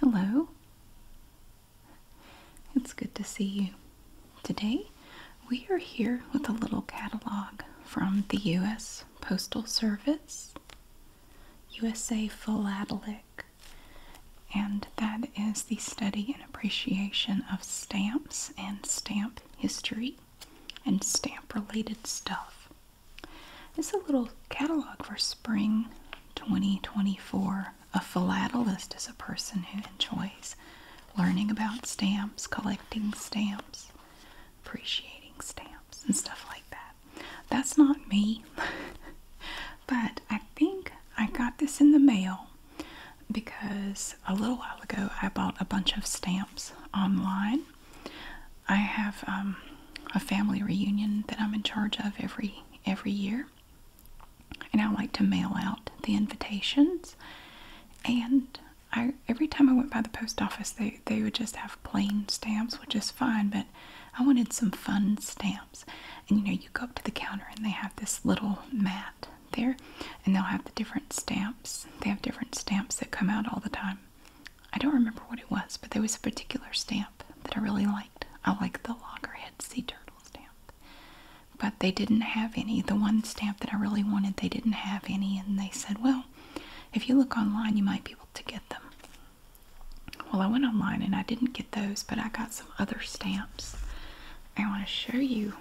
Hello. It's good to see you. Today we are here with a little catalog from the U.S. Postal Service, USA Philatelic, and that is the study and appreciation of stamps and stamp history and stamp related stuff. It's a little catalog for spring 2024. A philatelist is a person who enjoys learning about stamps, collecting stamps, appreciating stamps, and stuff like that. That's not me, but I think I got this in the mail because a little while ago I bought a bunch of stamps online. I have um, a family reunion that I'm in charge of every every year, and I like to mail out the invitations. And I every time I went by the post office, they they would just have plain stamps, which is fine, but I wanted some fun stamps. And you know, you go up to the counter and they have this little mat there and they'll have the different stamps they have different stamps that come out all the time i don't remember what it was but there was a particular stamp that i really liked i like the loggerhead sea turtle stamp but they didn't have any the one stamp that i really wanted they didn't have any and they said well if you look online you might be able to get them well i went online and i didn't get those but i got some other stamps i want to show you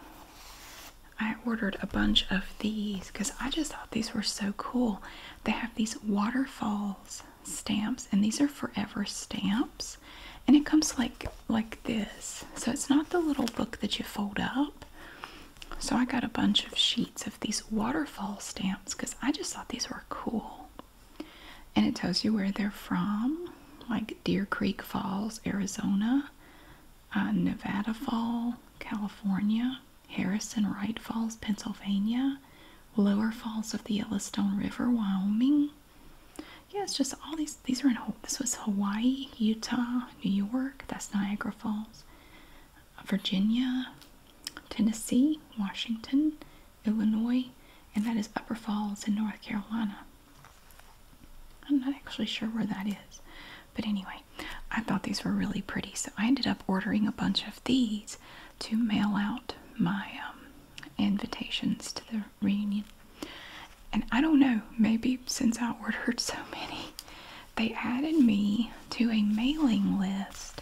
I ordered a bunch of these because I just thought these were so cool. They have these waterfalls stamps, and these are forever stamps. And it comes like like this. So it's not the little book that you fold up. So I got a bunch of sheets of these waterfall stamps because I just thought these were cool. And it tells you where they're from, like Deer Creek Falls, Arizona, uh, Nevada Fall, California, Harrison Wright Falls, Pennsylvania, Lower Falls of the Yellowstone River, Wyoming. Yes, just all these. These are in. This was Hawaii, Utah, New York. That's Niagara Falls, Virginia, Tennessee, Washington, Illinois, and that is Upper Falls in North Carolina. I'm not actually sure where that is. But anyway, I thought these were really pretty, so I ended up ordering a bunch of these to mail out my um, invitations to the reunion. And I don't know, maybe since I ordered so many, they added me to a mailing list,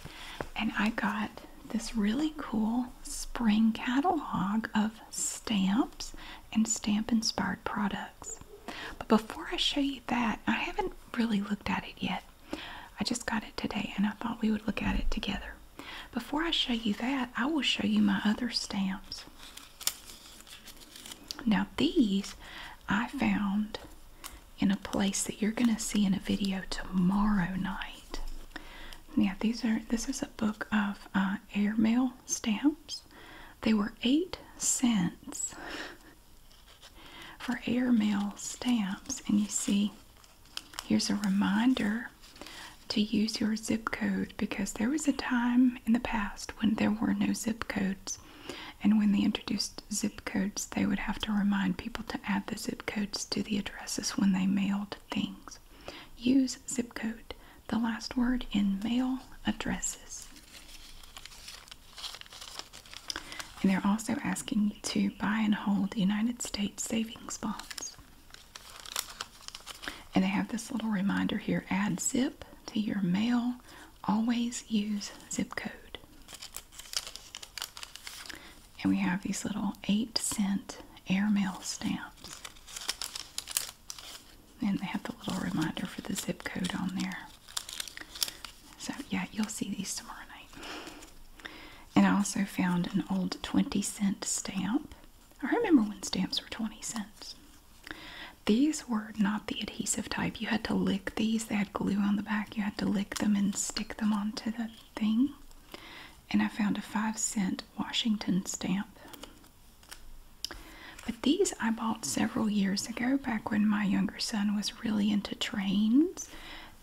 and I got this really cool spring catalog of stamps and stamp inspired products. But before I show you that, I haven't really looked at it yet. I just got it today and I thought we would look at it together. Before I show you that, I will show you my other stamps. Now these I found in a place that you're going to see in a video tomorrow night. Now these are this is a book of uh, air mail stamps. They were eight cents for airmail stamps. And you see, here's a reminder to use your zip code because there was a time in the past when there were no zip codes. And when they introduced zip codes, they would have to remind people to add the zip codes to the addresses when they mailed things. Use zip code the last word in mail addresses. And they're also asking you to buy and hold United States savings bonds. And they have this little reminder here add zip to your mail. Always use zip code. And we have these little 8 cent airmail stamps and they have the little reminder for the zip code on there. So yeah, you'll see these tomorrow night. And I also found an old 20 cent stamp. I remember when stamps were 20 cents. These were not the adhesive type. You had to lick these. They had glue on the back. You had to lick them and stick them onto the thing. And I found a 5 cent Washington stamp. But these I bought several years ago, back when my younger son was really into trains.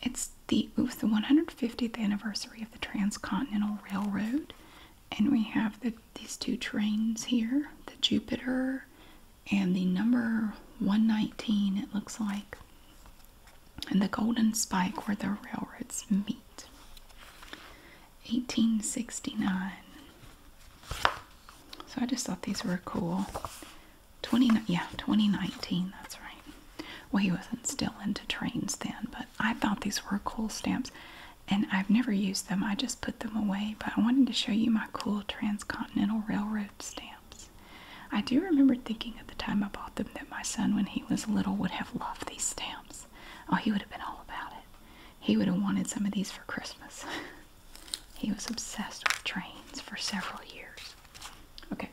It's the it was the 150th anniversary of the Transcontinental Railroad, and we have these two trains here: the Jupiter and the number 119. It looks like, and the Golden Spike where the railroads meet. 1869. So I just thought these were cool. 20 yeah, 2019, that's right. Well, he wasn't still into trains then, but I thought these were cool stamps and I've never used them. I just put them away, but I wanted to show you my cool Transcontinental Railroad stamps. I do remember thinking at the time I bought them that my son when he was little would have loved these stamps. Oh, he would have been all about it. He would have wanted some of these for Christmas. he was obsessed with trains for several years. Okay.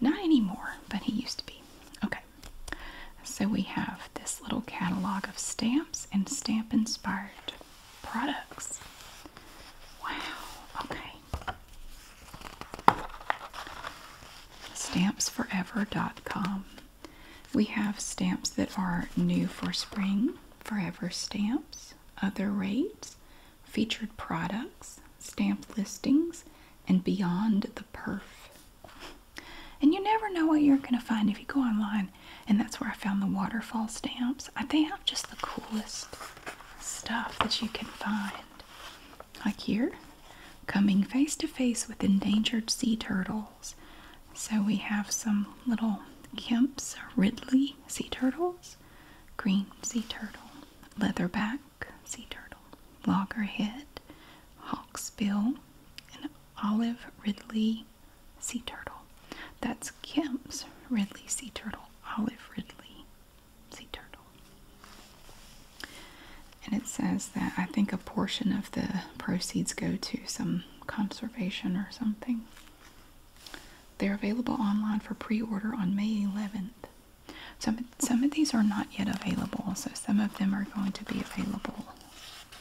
Not anymore, but he used to be. Okay. So we have this little catalog of stamps and stamp inspired products. Wow. Okay. Stampsforever.com we have stamps that are new for spring, forever stamps, other rates, featured products, stamp listings, and beyond the perf. And you never know what you're going to find if you go online. And that's where I found the waterfall stamps. Uh, they have just the coolest stuff that you can find. Like here, coming face to face with endangered sea turtle so we have some little Kemp's Ridley sea turtles, green sea turtle, leatherback sea turtle, loggerhead, hawksbill, and olive Ridley sea turtle. That's Kemp's Ridley sea turtle, olive Ridley sea turtle. And it says that I think a portion of the proceeds go to some conservation or something. They're available online for pre-order on May 11th. Some, some of these are not yet available, so some of them are going to be available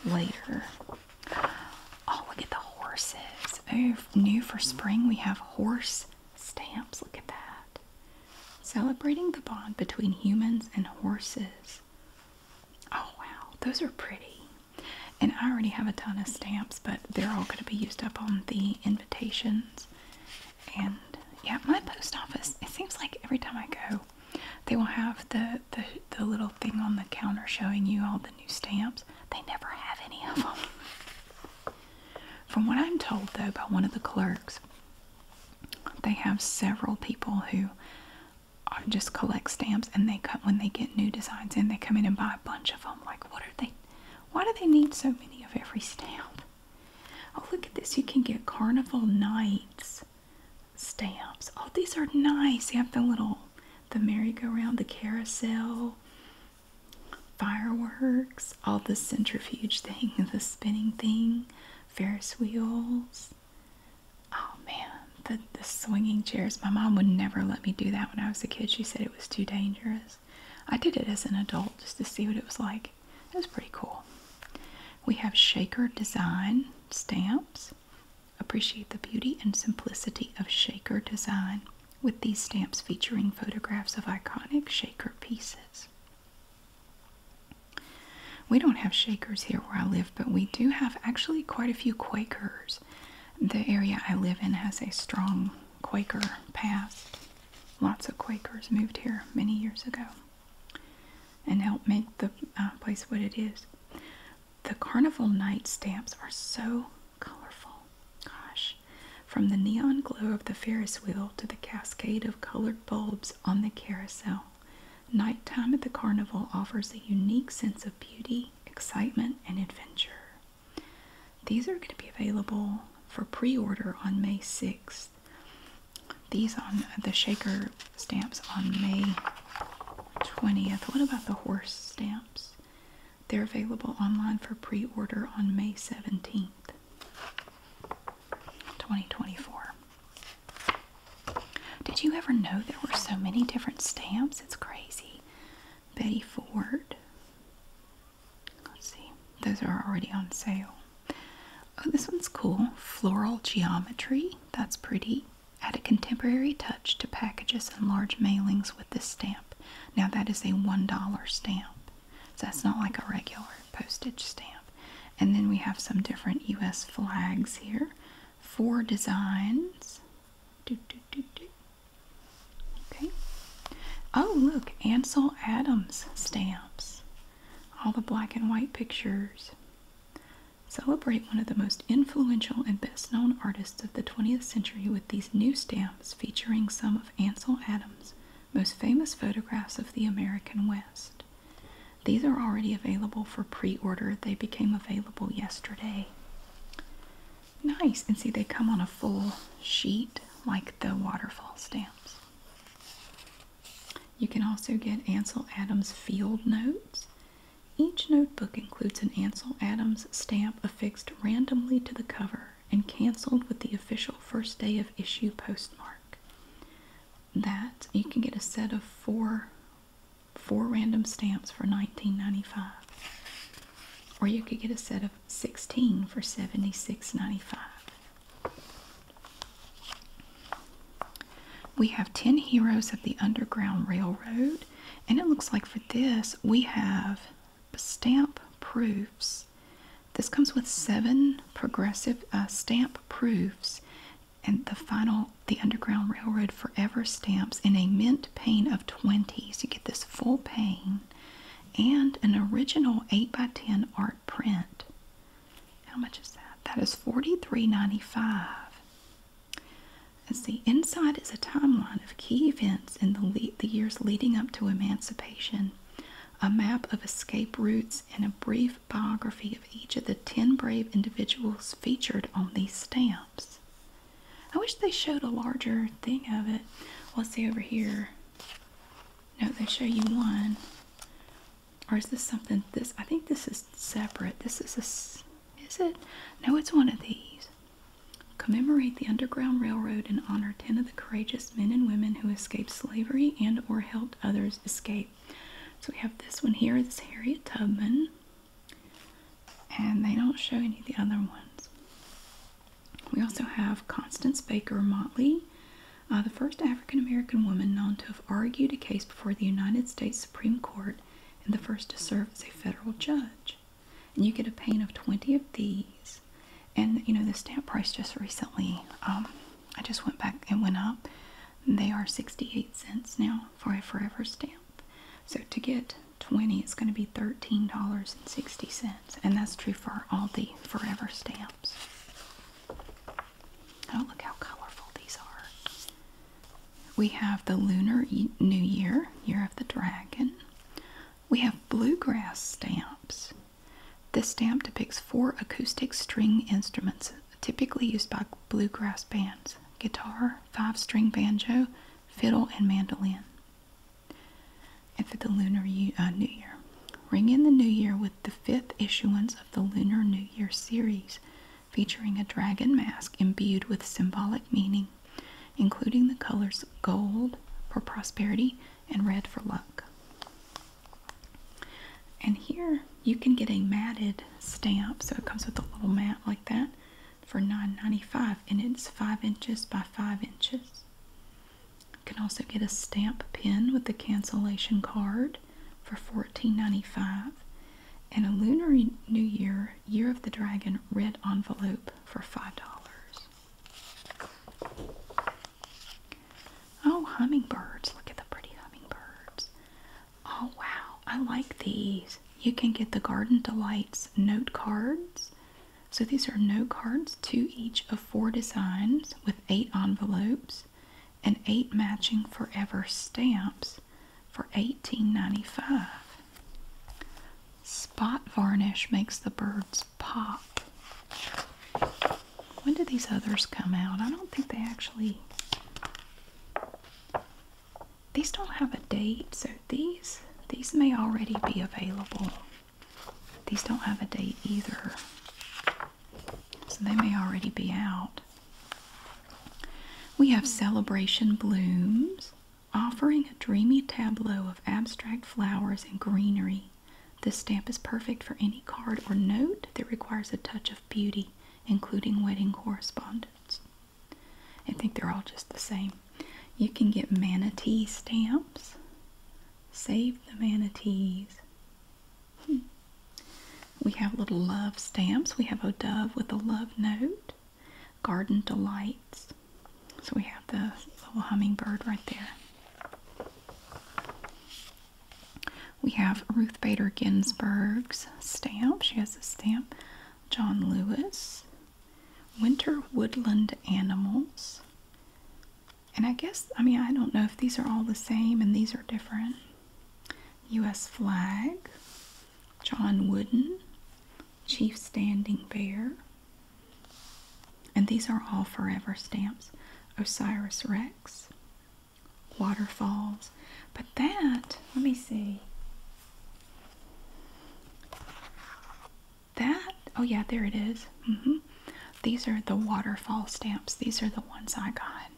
later. Oh, look at the horses. Oh, new for spring, we have horse stamps. Look at that. Celebrating the bond between humans and horses. Oh, wow. Those are pretty. And I already have a ton of stamps, but they're all going to be used up on the invitations. And yeah, my post office, it seems like every time I go, they will have the, the, the little thing on the counter showing you all the new stamps. They never have any of them. From what I'm told, though, by one of the clerks, they have several people who I just collect stamps and they come when they get new designs in they come in and buy a bunch of them like what are they why do they need so many of every stamp oh look at this you can get carnival nights stamps oh these are nice you have the little the merry-go-round the carousel fireworks all the centrifuge thing the spinning thing ferris wheels Oh man, the, the swinging chairs. My mom would never let me do that when I was a kid. She said it was too dangerous. I did it as an adult just to see what it was like. It was pretty cool. We have shaker design stamps. Appreciate the beauty and simplicity of shaker design with these stamps featuring photographs of iconic shaker pieces. We don't have Shakers here where I live, but we do have actually quite a few Quakers. The area I live in has a strong Quaker past. Lots of Quakers moved here many years ago and helped make the uh, place what it is. The carnival night stamps are so colorful. Gosh. From the neon glow of the Ferris wheel to the cascade of colored bulbs on the carousel, Nighttime at the carnival offers a unique sense of beauty, excitement, and adventure. These are going to be available for pre order on May 6th. These on the shaker stamps on May 20th. What about the horse stamps? They're available online for pre order on May 17th, 2024. Did you ever know there were so many different stamps? It's crazy. Betty Ford. Let's see. Those are already on sale. Oh, this one's cool. Floral geometry. That's pretty. Add a contemporary touch to packages and large mailings with this stamp. Now that is a $1 stamp. So that's not like a regular postage stamp. And then we have some different U.S. flags here four designs. Okay. Oh, look, Ansel Adams stamps. All the black and white pictures. Celebrate one of the most influential and best known artists of the 20th century with these new stamps featuring some of Ansel Adams' most famous photographs of the American West. These are already available for pre-order. They became available yesterday. Nice. And see, they come on a full sheet like the waterfall stamps. You can also get Ansel Adams field notes. Each notebook includes an Ansel Adams stamp affixed randomly to the cover and canceled with the official first day of issue postmark. That you can get a set of four four random stamps for $19.95. Or you could get a set of 16 for $76.95. We have 10 Heroes of the Underground Railroad, and it looks like for this we have stamp proofs. This comes with seven progressive uh, stamp proofs and the final the Underground Railroad Forever stamps in a mint pane of 20s. You get this full pane and an original 8 by 10 art print. How much is that? That is $43.95. And see, inside is a timeline of key events in the, the years leading up to emancipation, a map of escape routes, and a brief biography of each of the 10 brave individuals featured on these stamps. I wish they showed a larger thing of it. Let's see over here. No, they show you one. Or is this something? This I think this is separate. This is a. Is it? No, it's one of these. Commemorate the Underground Railroad and honor ten of the courageous men and women who escaped slavery and/or helped others escape so we have this one here. It's Harriet Tubman. And they don't show any of the other ones. We also have Constance Baker Motley, uh, the first African American woman known to have argued a case before the United States Supreme Court and the first to serve as a federal judge. And you get a pane of 20 of these. And you know, the stamp price just recently, um, I just went back and went up. They are 68 cents now for a forever stamp. So to get 20, it's going to be $13.60. And that's true for all the forever stamps. Oh, look how colorful these are. We have the Lunar New Year, Year of the Dragon. We have bluegrass stamps. This stamp depicts four acoustic string instruments typically used by bluegrass bands guitar, five string banjo, fiddle, and mandolin. And for the Lunar uh, New Year, ring in the New Year with the fifth issuance of the Lunar New Year series, featuring a dragon mask imbued with symbolic meaning, including the colors gold for prosperity and red for luck. And here you can get a matted stamp. So it comes with a little mat like that for $9.95 and it's 5 inches by 5 inches. You can also get a stamp pen with the cancellation card for $14.95 and a Lunar New Year Year of the Dragon red envelope for $5. Oh, hummingbirds. Look at the pretty hummingbirds. Oh wow, I like these. You can get the Garden Delights note cards. So these are note cards, to each of four designs with eight envelopes and eight matching forever stamps for $18.95. Spot varnish makes the birds pop. When do these others come out? I don't think they actually these don't have a date, so these these may already be available. These don't have a date either. So they may already be out. We have Celebration Blooms, offering a dreamy tableau of abstract flowers and greenery. This stamp is perfect for any card or note that requires a touch of beauty, including wedding correspondence. I think they're all just the same. You can get manatee stamps. Save the manatees. Hmm. We have little love stamps. We have a dove with a love note. Garden delights. So we have the little hummingbird right there. We have Ruth Bader Ginsburg's stamp. She has a stamp. John Lewis. Winter Woodland Animals. And I guess, I mean, I don't know if these are all the same and these are different. U.S. flag, John Wooden, Chief Standing Bear, and these are all forever stamps. Osiris Rex, waterfalls. But that, let me see. That, oh yeah, there it is. -hmm. These are the waterfall stamps. These are the ones I got.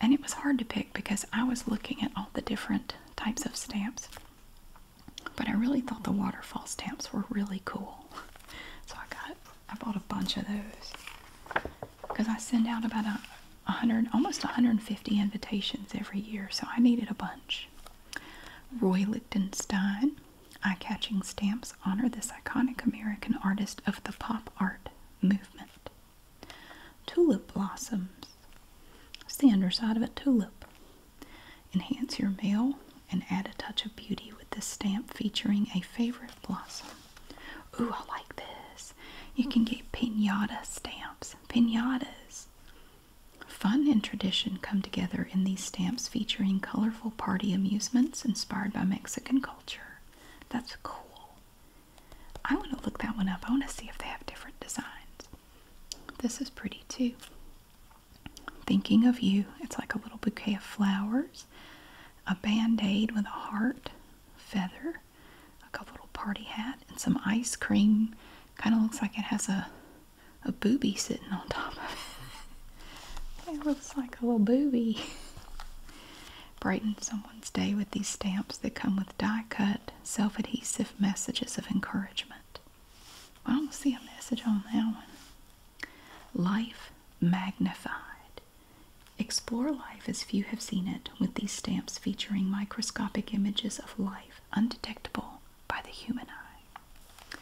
And it was hard to pick because I was looking at all the different types of stamps. But I really thought the waterfall stamps were really cool. So I got, I bought a bunch of those because I send out about a, hundred, almost 150 invitations every year, so I needed a bunch. Roy Lichtenstein, Eye Catching Stamps honor this iconic American artist of the pop art movement. Tulip blossoms. It's the underside of a tulip. Enhance your mail and add a touch of beauty with this stamp featuring a favorite blossom. Ooh, I like this. You can get pinata stamps. Pinatas. Fun and tradition come together in these stamps featuring colorful party amusements inspired by Mexican culture. That's cool. I want to look that one up. I want to see if they have different designs. This is pretty too. Thinking of you. It's like a little bouquet of flowers, a band aid with a heart, feather, a couple party hat and some ice cream. Kind of looks like it has a a booby sitting on top of it. it looks like a little booby. Brighten someone's day with these stamps that come with die-cut, self-adhesive messages of encouragement. I don't see a message on that one. Life magnified. Explore life as few have seen it with these stamps featuring microscopic images of life undetectable by the human eye.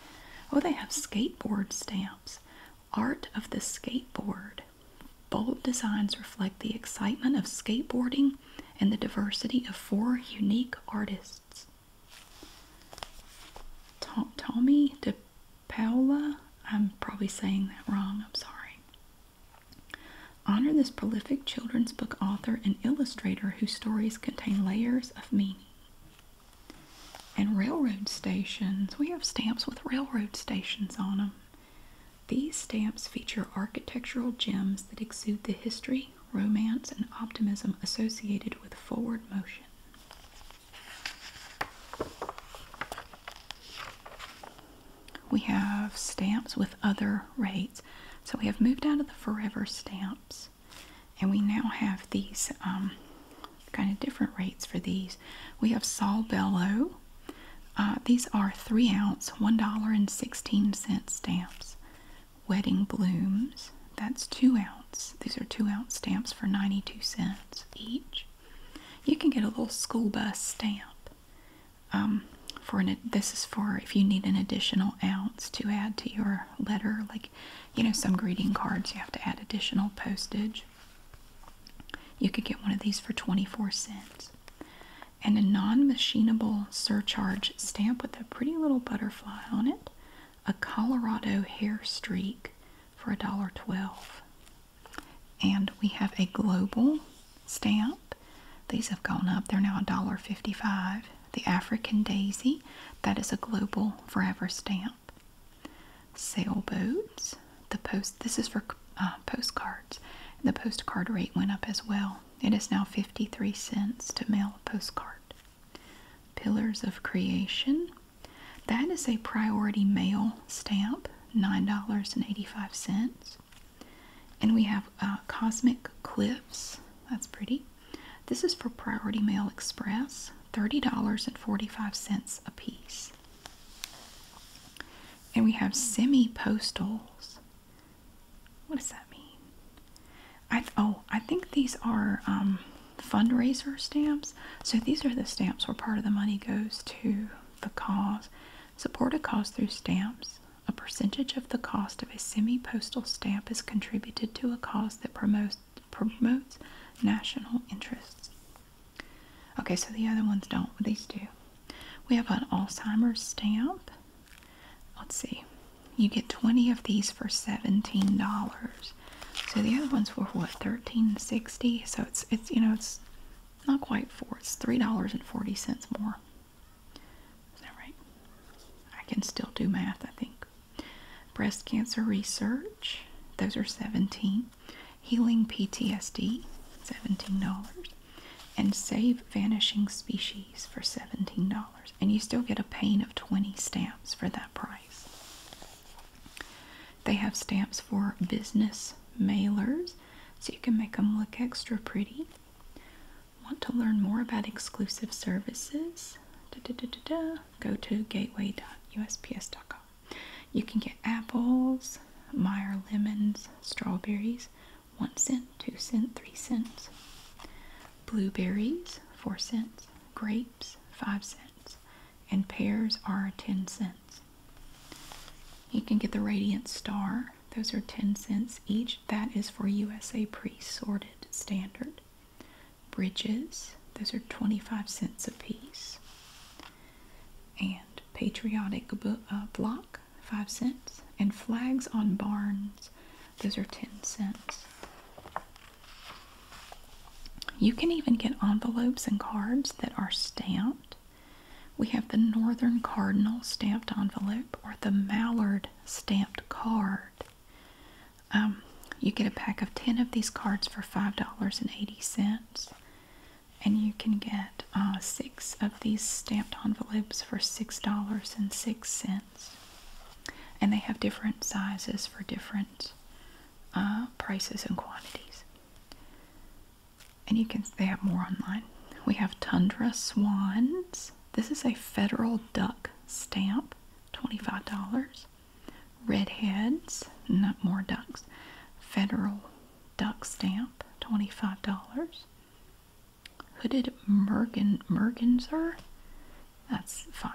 Oh, they have skateboard stamps. Art of the skateboard. Bold designs reflect the excitement of skateboarding and the diversity of four unique artists. Tommy De Paola. I'm probably saying that wrong. I'm sorry. Honor this prolific children's book author and illustrator whose stories contain layers of meaning. And railroad stations. We have stamps with railroad stations on them. These stamps feature architectural gems that exude the history, romance, and optimism associated with forward motion. We have stamps with other rates. So we have moved out of the forever stamps and we now have these um, kind of different rates for these. We have Saul Bellow. Uh, these are three ounce, $1.16 stamps. Wedding Blooms, that's two ounce. These are two ounce stamps for 92 cents each. You can get a little school bus stamp. Um, for an, this is for if you need an additional ounce to add to your letter, like you know some greeting cards you have to add additional postage. You could get one of these for 24 cents. And a non-machinable surcharge stamp with a pretty little butterfly on it, a Colorado hair streak for a dollar twelve. And we have a global stamp. These have gone up. They're now $1.55. The African Daisy, that is a global forever stamp. Sailboats, the post, this is for uh, postcards. The postcard rate went up as well. It is now 53 cents to mail a postcard. Pillars of Creation, that is a priority mail stamp. $9.85. And we have uh, Cosmic Cliffs. That's pretty. This is for Priority Mail Express. $30.45 a piece. And we have semi-postals. What does that mean? oh, I think these are um, fundraiser stamps. So these are the stamps where part of the money goes to the cause. Support a cause through stamps. A percentage of the cost of a semi-postal stamp is contributed to a cause that promotes national interests. Okay, so the other ones don't. These do. We have an Alzheimer's stamp. Let's see. You get 20 of these for $17. So the other ones were what, 13.60? So it's it's you know, it's not quite four, it's $3.40 more. Is that right? I can still do math, I think. Breast cancer research, those are 17 Healing PTSD, $17. And Save Vanishing Species for $17. And you still get a pane of 20 stamps for that price. They have stamps for business mailers, so you can make them look extra pretty. Want to learn more about exclusive services? Go to gateway.usps.com. You can get apples, Meyer lemons, strawberries, one cent, two cent, three cents, blueberries, four cents, grapes, five cents and pears are 10 cents. You can get the Radiant Star, those are 10 cents each. That is for USA pre sorted standard. Bridges, those are 25 cents a piece. And Patriotic uh, Block, 5 cents. And Flags on Barns, those are 10 cents. You can even get envelopes and cards that are stamped. We have the Northern Cardinal stamped envelope or the Mallard stamped card. Um, you get a pack of 10 of these cards for $5.80. And you can get uh, six of these stamped envelopes for $6.06. And they have different sizes for different uh, prices and quantities. And you can, they have more online. We have Tundra Swans. This is a federal duck stamp, $25. Redheads, not more ducks. Federal duck stamp, $25. Hooded Mergen, Mergenser, that's $5.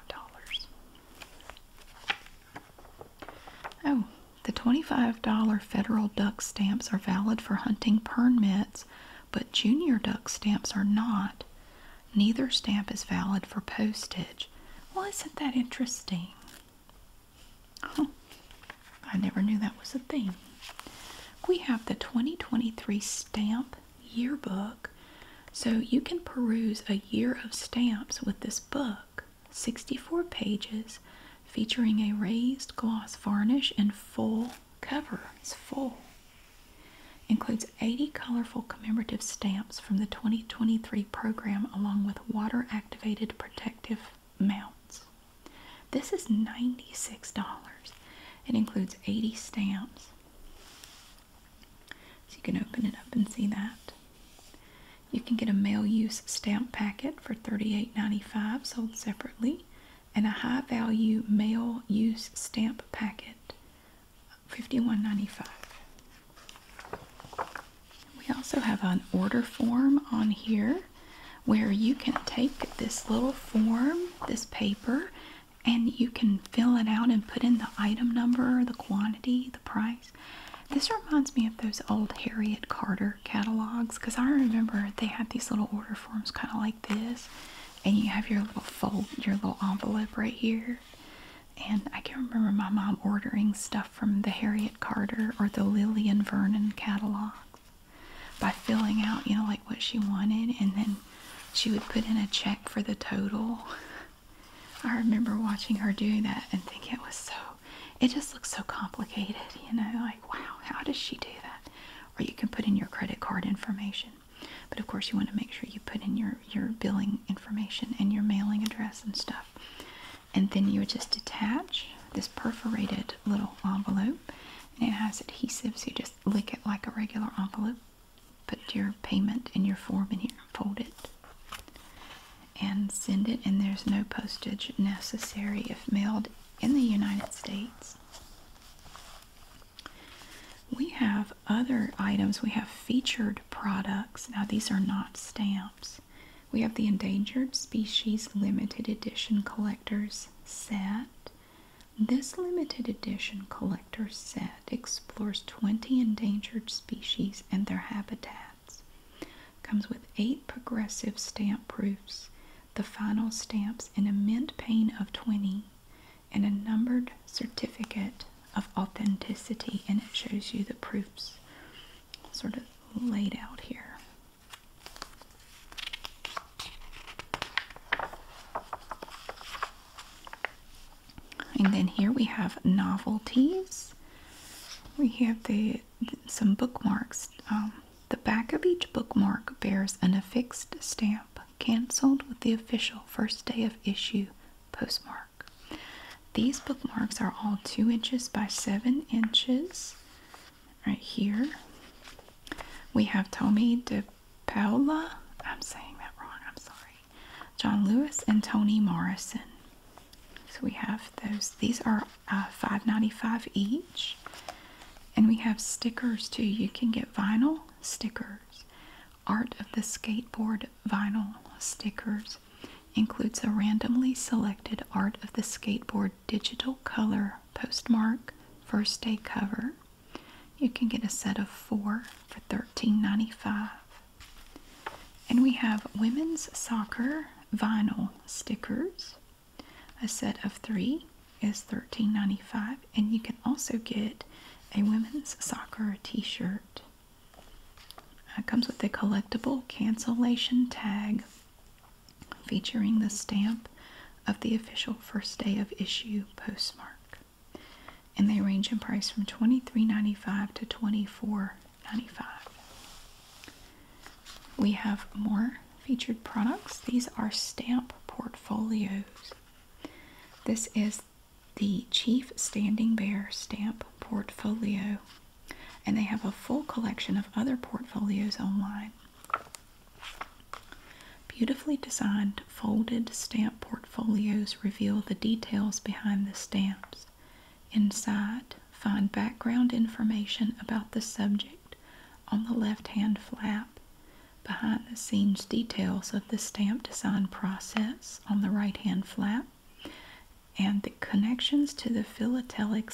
Oh, the $25 federal duck stamps are valid for hunting permits, but junior duck stamps are not. Neither stamp is valid for postage. Well, isn't that interesting? I never knew that was a thing. We have the 2023 Stamp Yearbook, so you can peruse a year of stamps with this book. 64 pages featuring a raised gloss varnish and full covers. full. Includes 80 colorful commemorative stamps from the 2023 program along with water activated protective mounts. This is $96. It includes 80 stamps. So you can open it up and see that. You can get a mail use stamp packet for $38.95 sold separately and a high value mail use stamp packet $51.95. We also have an order form on here where you can take this little form, this paper, and you can fill it out and put in the item number, the quantity, the price. This reminds me of those old Harriet Carter catalogs because I remember they had these little order forms kind of like this, and you have your little fold, your little envelope right here. And I can remember my mom ordering stuff from the Harriet Carter or the Lillian Vernon catalogs by filling out, you know, like what she wanted, and then she would put in a check for the total. I remember watching her do that and think it was so, it just looks so complicated, you know, like wow, how does she do that? Or you can put in your credit card information. But of course you want to make sure you put in your, your billing information and your mailing address and stuff. And then you would just attach this perforated little envelope and it has adhesive so you just lick it like a regular envelope. Put your payment in your form in here and fold it and send it, and there's no postage necessary if mailed in the United States. We have other items. We have featured products. Now, these are not stamps. We have the Endangered Species Limited Edition Collectors Set. This limited edition collector set explores 20 endangered species and their habitat. Comes with eight progressive stamp proofs, the final stamps in a mint pane of 20, and a numbered certificate of authenticity, and it shows you the proofs sort of laid out here. And then here we have novelties. We have the some bookmarks. Um, the back of each bookmark bears an affixed stamp, cancelled with the official first day of issue postmark. These bookmarks are all two inches by seven inches. Right here, we have Tomi De Paola. I'm saying that wrong. I'm sorry. John Lewis and Toni Morrison. So we have those. These are uh, $5.95 each. And we have stickers too. You can get vinyl stickers. Art of the Skateboard vinyl stickers includes a randomly selected Art of the Skateboard digital color postmark first day cover. You can get a set of four for $13.95. And we have women's soccer vinyl stickers. A set of three is $13.95, and you can also get a women's soccer t shirt. Uh, it comes with a collectible cancellation tag featuring the stamp of the official first day of issue postmark. And they range in price from $23.95 to 24 dollars 195 We have more featured products. These are stamp portfolios. This is the Chief Standing Bear stamp portfolio, and they have a full collection of other portfolios online. Beautifully designed folded stamp portfolios reveal the details behind the stamps. Inside, find background information about the subject on the left-hand flap, behind-the-scenes details of the stamp design process on the right-hand flap, and the connections to the philatelic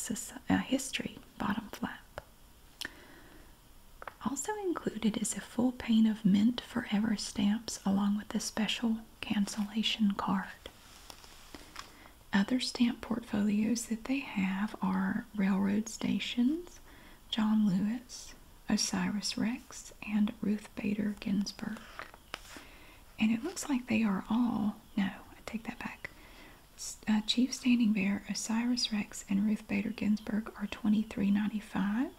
uh, history bottom flap. Also included is a full pane of Mint Forever stamps along with a special cancellation card. Other stamp portfolios that they have are Railroad Stations, John Lewis, Osiris Rex, and Ruth Bader Ginsburg. And it looks like they are all, no, I take that back. Uh, Chief Standing Bear, Osiris Rex, and Ruth Bader Ginsburg are twenty-three ninety-five.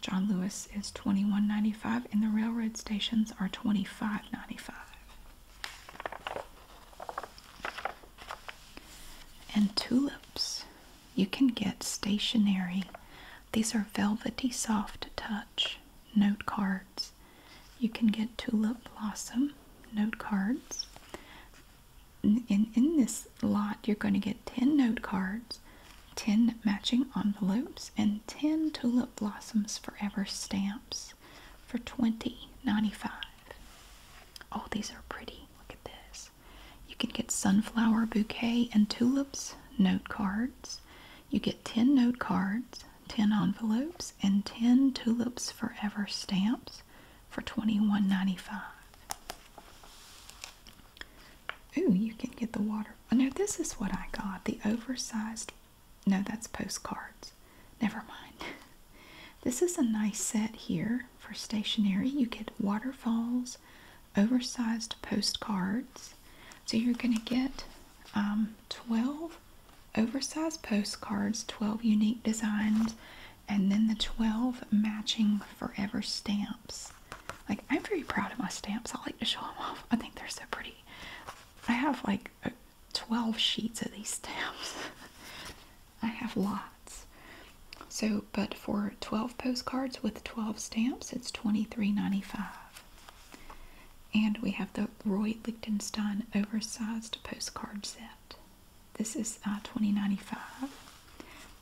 John Lewis is twenty one ninety five, and the railroad stations are twenty five ninety five. And tulips. You can get stationery. These are velvety soft touch note cards. You can get tulip blossom note cards. In, in this lot, you're going to get 10 note cards 10 matching envelopes, and 10 Tulip Blossoms Forever stamps for $20.95. Oh, these are pretty. Look at this. You can get sunflower bouquet and tulips note cards. You get 10 note cards, 10 envelopes, and 10 Tulips Forever stamps for $21.95. Ooh, you can get the water. Oh, now, this is what I got the oversized. No, that's postcards. Never mind. This is a nice set here for stationery. You get waterfalls, oversized postcards. So you're going to get um, 12 oversized postcards, 12 unique designs, and then the 12 matching forever stamps. Like, I'm very proud of my stamps. I like to show them off. I think they're so pretty. I have like 12 sheets of these stamps. I have lots. So, but for 12 postcards with 12 stamps, it's twenty three ninety five. And we have the Roy Lichtenstein oversized postcard set. This is uh, twenty ninety five.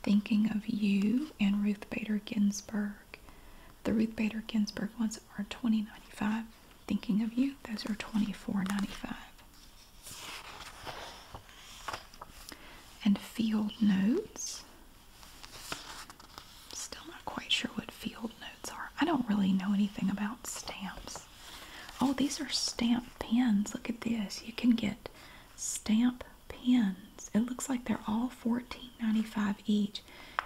Thinking of You and Ruth Bader Ginsburg. The Ruth Bader Ginsburg ones are twenty ninety five. Thinking of you, those are twenty four ninety five. And Field Notes. Still not quite sure what Field Notes are. I don't really know anything about stamps. Oh, these are stamp pens. Look at this. You can get stamp pen it looks like they're all $14.95 each.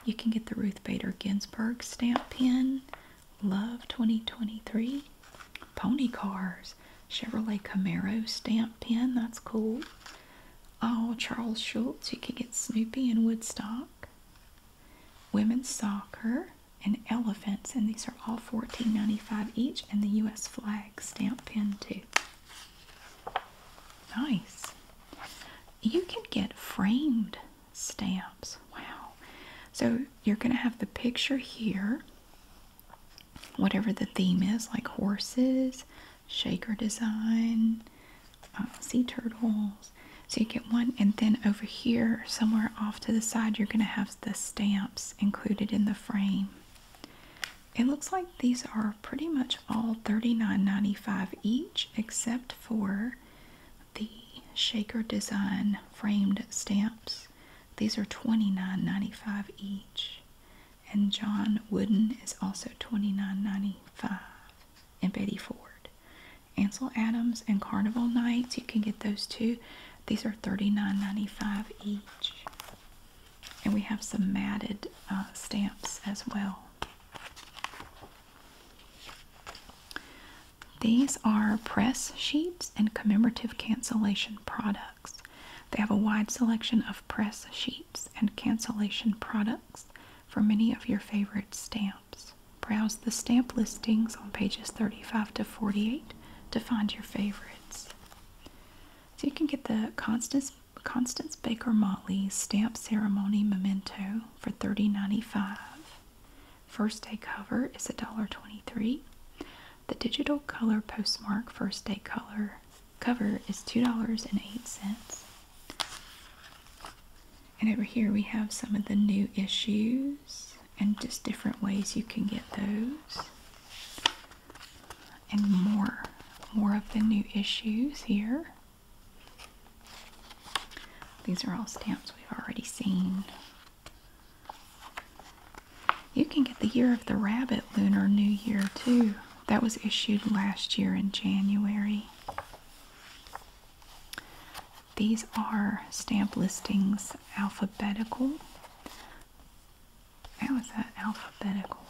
You can get the Ruth Bader Ginsburg stamp pen, Love 2023, Pony Cars, Chevrolet Camaro stamp pen. That's cool. Oh, Charles Schultz. You can get Snoopy and Woodstock, women's soccer, and elephants. And these are all $14.95 each, and the U.S. flag stamp pen, too. Nice. You can get framed stamps. Wow. So you're going to have the picture here, whatever the theme is, like horses, shaker design, uh, sea turtles. So you get one, and then over here, somewhere off to the side, you're going to have the stamps included in the frame. It looks like these are pretty much all $39.95 each except for the shaker design framed stamps. These are $29.95 each. And John Wooden is also $29.95. And Betty Ford. Ansel Adams and Carnival Nights, you can get those too. These are $39.95 each. And we have some matted uh, stamps as well. These are press sheets and commemorative cancellation products. They have a wide selection of press sheets and cancellation products for many of your favorite stamps. Browse the stamp listings on pages 35 to 48 to find your favorites. So you can get the Constance Constance Baker Motley's stamp ceremony memento for 30 1st day cover is $1.23. The digital color postmark first day color cover is $2.08. And over here we have some of the new issues and just different ways you can get those. And more, more of the new issues here. These are all stamps we've already seen. You can get the Year of the Rabbit Lunar New Year too. That was issued last year in January. These are stamp listings alphabetical. How is that alphabetical?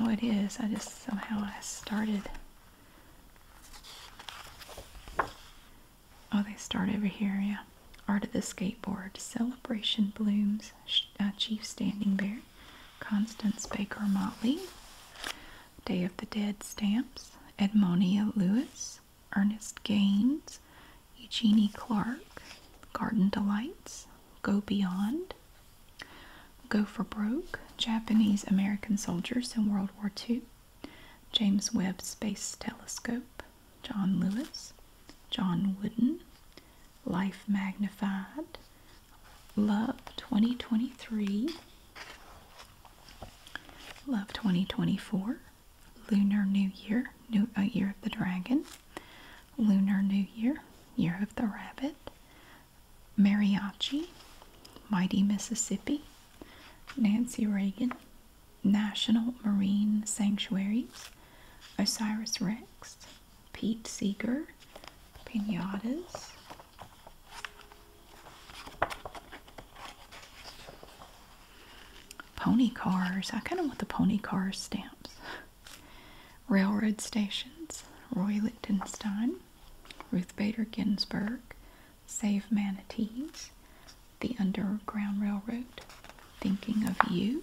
Oh, it is. I just somehow I started. Oh, they start over here, yeah. Art of the Skateboard, Celebration Blooms, uh, Chief Standing Bear, Constance Baker Motley, Day of the Dead Stamps, Edmonia Lewis, Ernest Gaines, Eugenie Clark, Garden Delights, Go Beyond, Go for Broke, Japanese American Soldiers in World War II, James Webb Space Telescope, John Lewis, John Wooden, Life Magnified, Love 2023, Love 2024, Lunar New Year, New uh, Year of the Dragon, Lunar New Year, Year of the Rabbit, Mariachi, Mighty Mississippi, Nancy Reagan, National Marine Sanctuaries, Osiris Rex, Pete Seeger, Pinatas. Pony cars. I kind of want the pony car stamps. Railroad stations Roy Lichtenstein, Ruth Bader Ginsburg, Save Manatees, The Underground Railroad, Thinking of You,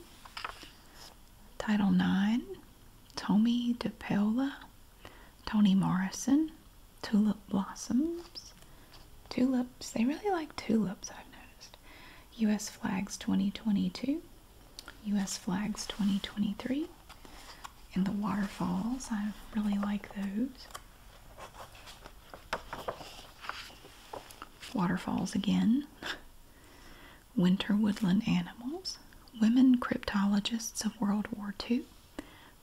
Title IX, Tommy DePaola, Toni Morrison, Tulip Blossoms, Tulips, they really like tulips, I've noticed. U.S. Flags 2022, U.S. Flags 2023 and the waterfalls. I really like those. Waterfalls again. Winter woodland animals. Women cryptologists of World War II.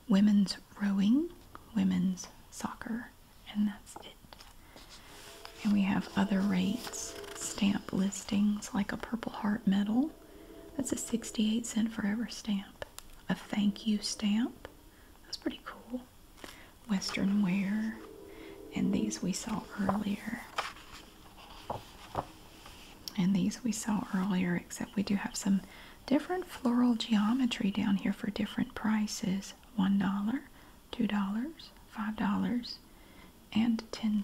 Women's rowing. Women's soccer. And that's it. And we have other rates stamp listings like a Purple Heart medal. That's a 68 cent forever stamp. A thank you stamp. That's pretty cool. Western wear. And these we saw earlier. And these we saw earlier, except we do have some different floral geometry down here for different prices. $1, $2, $5 and $10.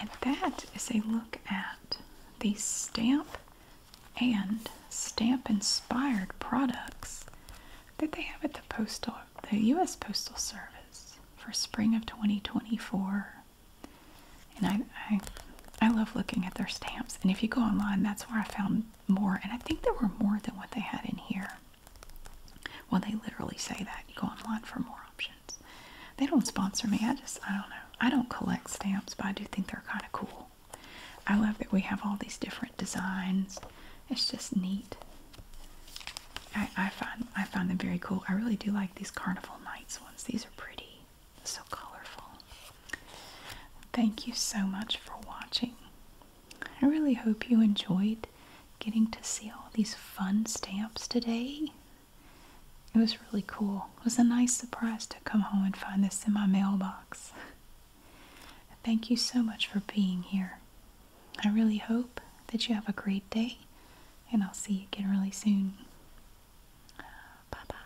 And that is a look at the stamp and stamp inspired products that they have at the postal the US Postal Service for spring of 2024. And I, I I love looking at their stamps. And if you go online, that's where I found more. And I think there were more than what they had in here. Well, they literally say that. You go online for more options. They don't sponsor me. I just, I don't know. I don't collect stamps, but I do think they're kind of cool. I love that we have all these different designs. It's just neat. I, I find I find them very cool. I really do like these Carnival Nights ones. These are pretty. So colorful. Thank you so much for watching. I really hope you enjoyed getting to see all these fun stamps today. It was really cool. It was a nice surprise to come home and find this in my mailbox. Thank you so much for being here. I really hope that you have a great day, and I'll see you again really soon. Bye bye.